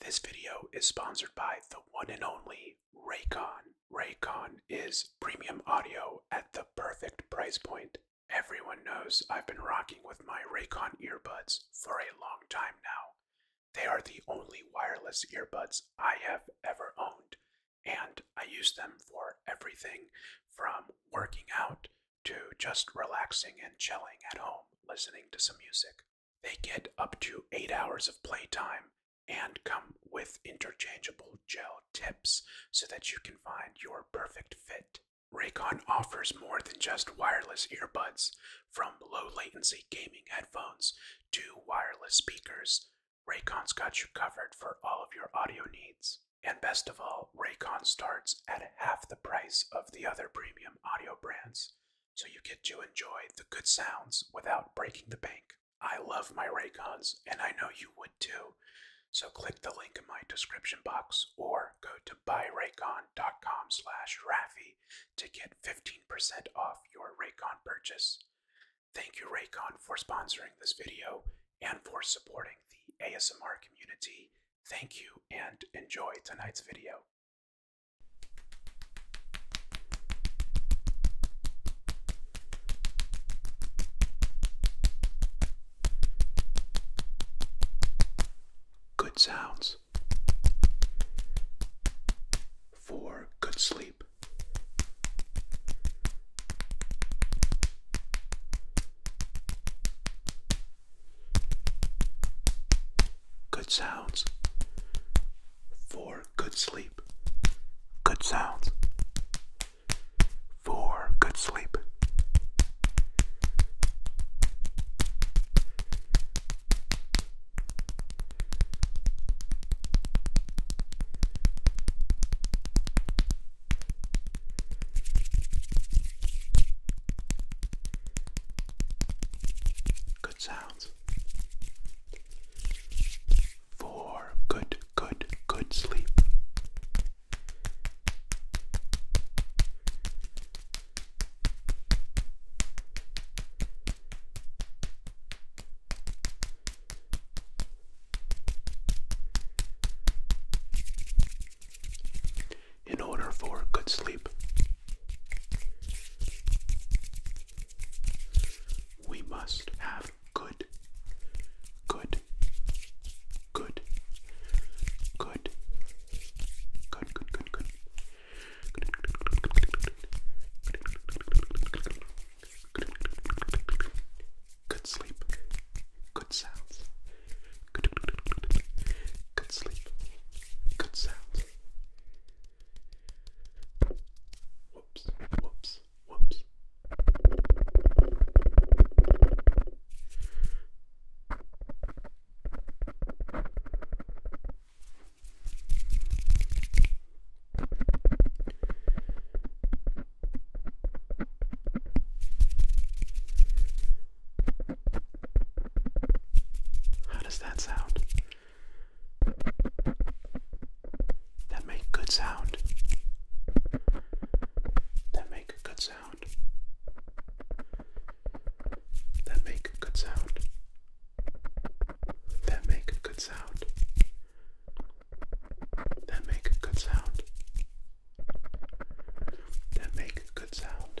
This video is sponsored by the one and only Raycon. Raycon is premium audio at the perfect price point. Everyone knows I've been rocking with my Raycon earbuds for a long time now. They are the only wireless earbuds I have ever owned, and I use them for everything from working out to just relaxing and chilling at home listening to some music. They get up to eight hours of playtime and come with interchangeable gel tips so that you can find your perfect fit. Raycon offers more than just wireless earbuds, from low latency gaming headphones to wireless speakers. Raycon's got you covered for all of your audio needs. And best of all, Raycon starts at half the price of the other premium audio brands so you get to enjoy the good sounds without breaking the bank. I love my Raycons, and I know you would too. So click the link in my description box or go to buyraycon.com slash Rafi to get 15% off your Raycon purchase. Thank you Raycon for sponsoring this video and for supporting the ASMR community. Thank you and enjoy tonight's video. Good sounds for good sleep. Good sounds for good sleep, good sounds, for good sleep. Good sounds for good, good, good sleep. In order for good sleep, we must have good, good, good, good, good, good, good, sleep, good sounds. good sleep, good sounds. Whoops, whoops, whoops. How does that sound? that make good sound that make a good sound that make a good sound that make a good sound that make a good sound that make a good sound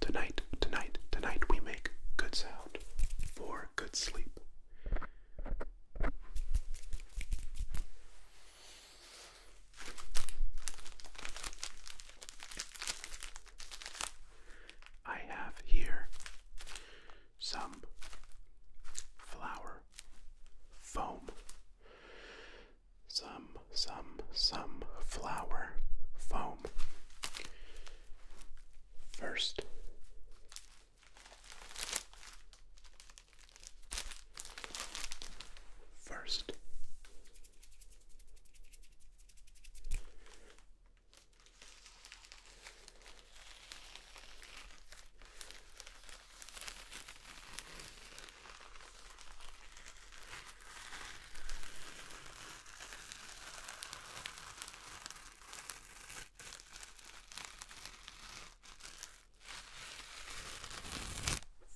Tonight, tonight, tonight we make good sound for good sleep. I have here some flour foam some, some, some flower foam. First, first,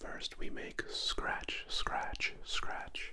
First, we make scratch, scratch, scratch.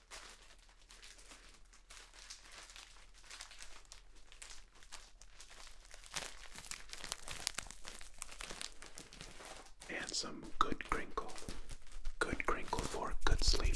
And some good crinkle. Good crinkle for good sleep.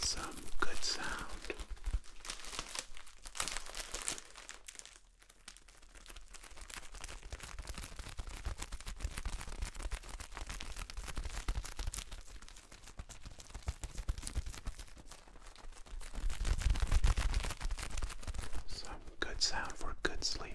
Some good sound. Some good sound for good sleep.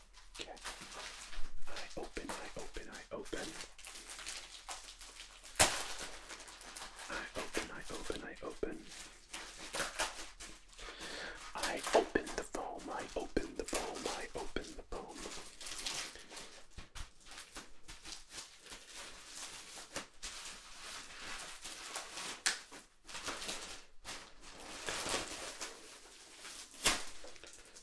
Okay. I open, I open, I open. I open, I open, I open. I open the foam, I open the foam, I open the foam.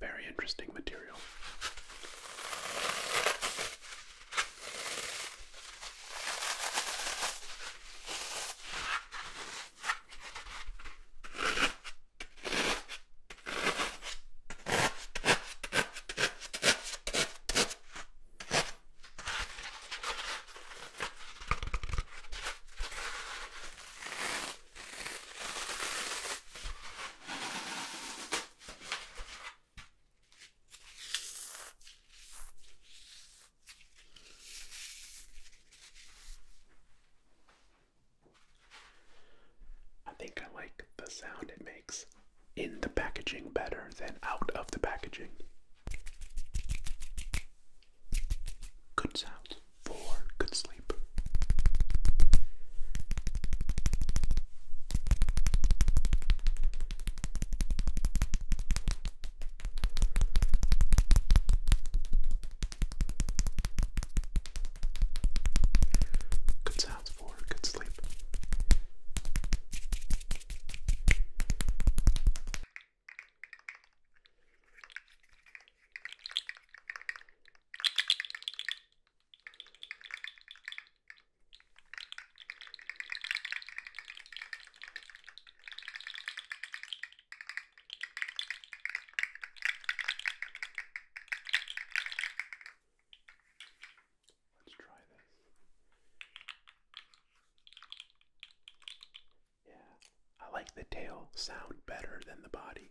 Very interesting material. I think I like the sound it makes in the packaging better than out of the packaging. Good sounds for good sleep. Good sounds for good sleep. Let's try this. Yeah, I like the tail sound better than the body.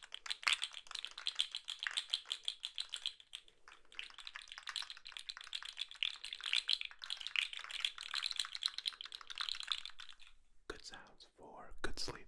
Good sounds for good sleep.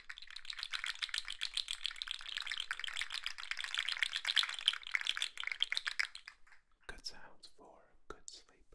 Good sounds for good sleep.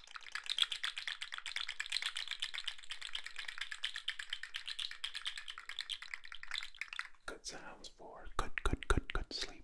Good sounds for good, good, good, good sleep.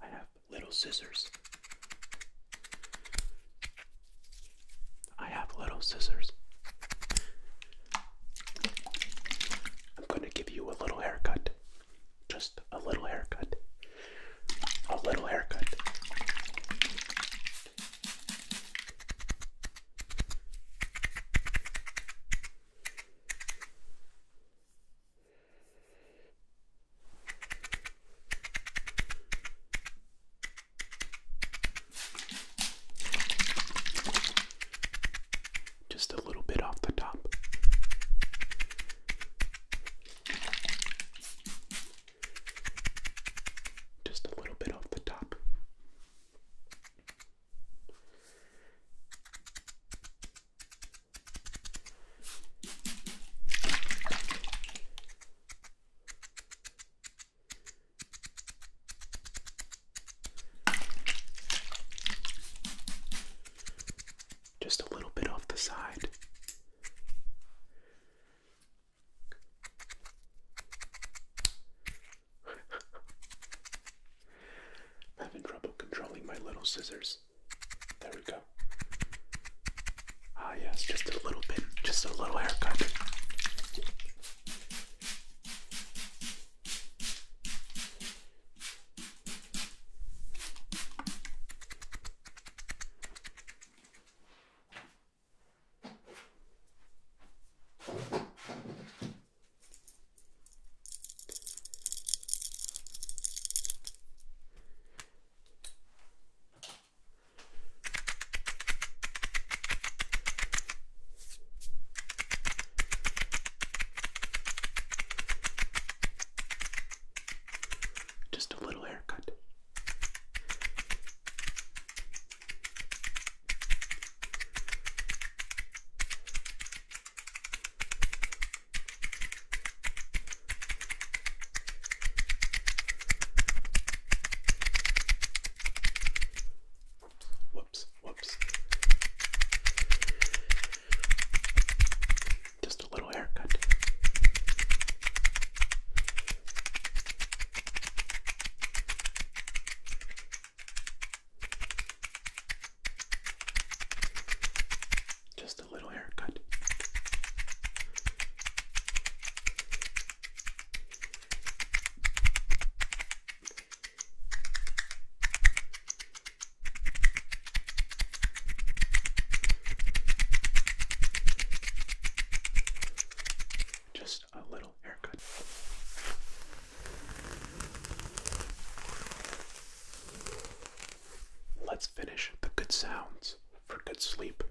I have little scissors. I have little scissors. I'm going to give you a little haircut. Just a little haircut. A little haircut. Just a little bit off the top. Just a little bit off the top. Just a little bit off the side. I'm having trouble controlling my little scissors. There we go. Ah, yes, just a little bit, just a little haircut. Just a little haircut. Whoops, whoops. Just a little haircut. Just a little haircut. Just a little air haircut. Let's finish the good sounds for good sleep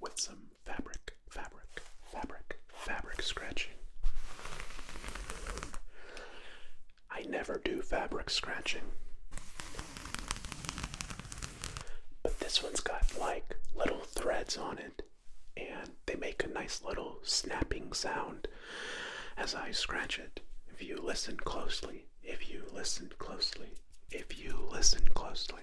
with some fabric, fabric, fabric, fabric scratching. I never do fabric scratching. But this one's got like little threads on it, and they make a nice little snapping sound as I scratch it. If you listen closely, if you listen closely, if you listen closely.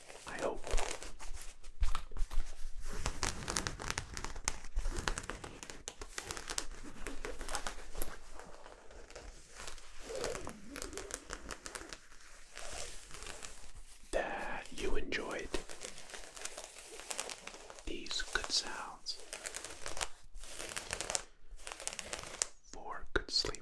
I hope. That you enjoyed these good sounds for good sleep.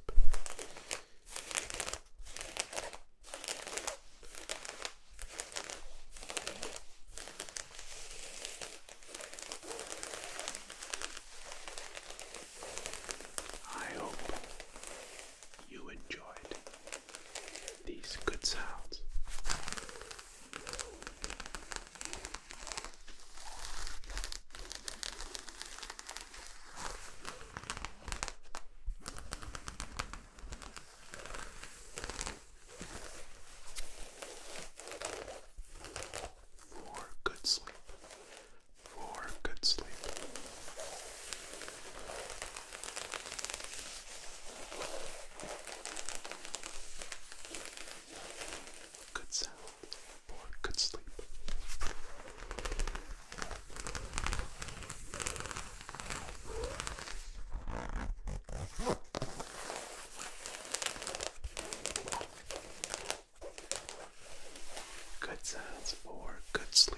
I hope you enjoyed these good sounds. For good sleep. For good sleep. Good sound. For good sleep. Good sounds for good sleep.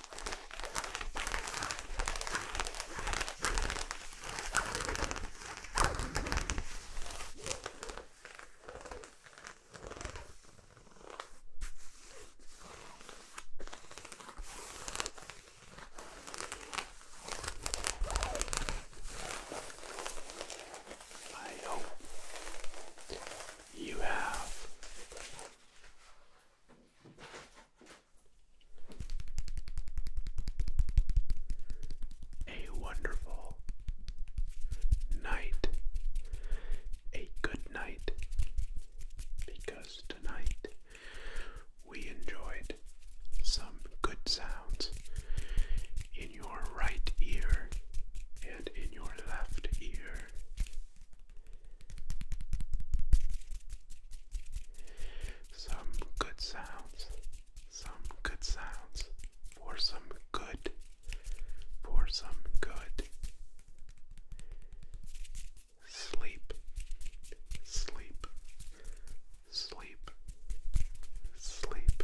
I hope you have a wonderful night, a good night, because tonight we enjoyed some good sounds in your right ear and in your left ear some good sounds, some good sounds, for some good, for some good. Sleep, sleep, sleep, sleep.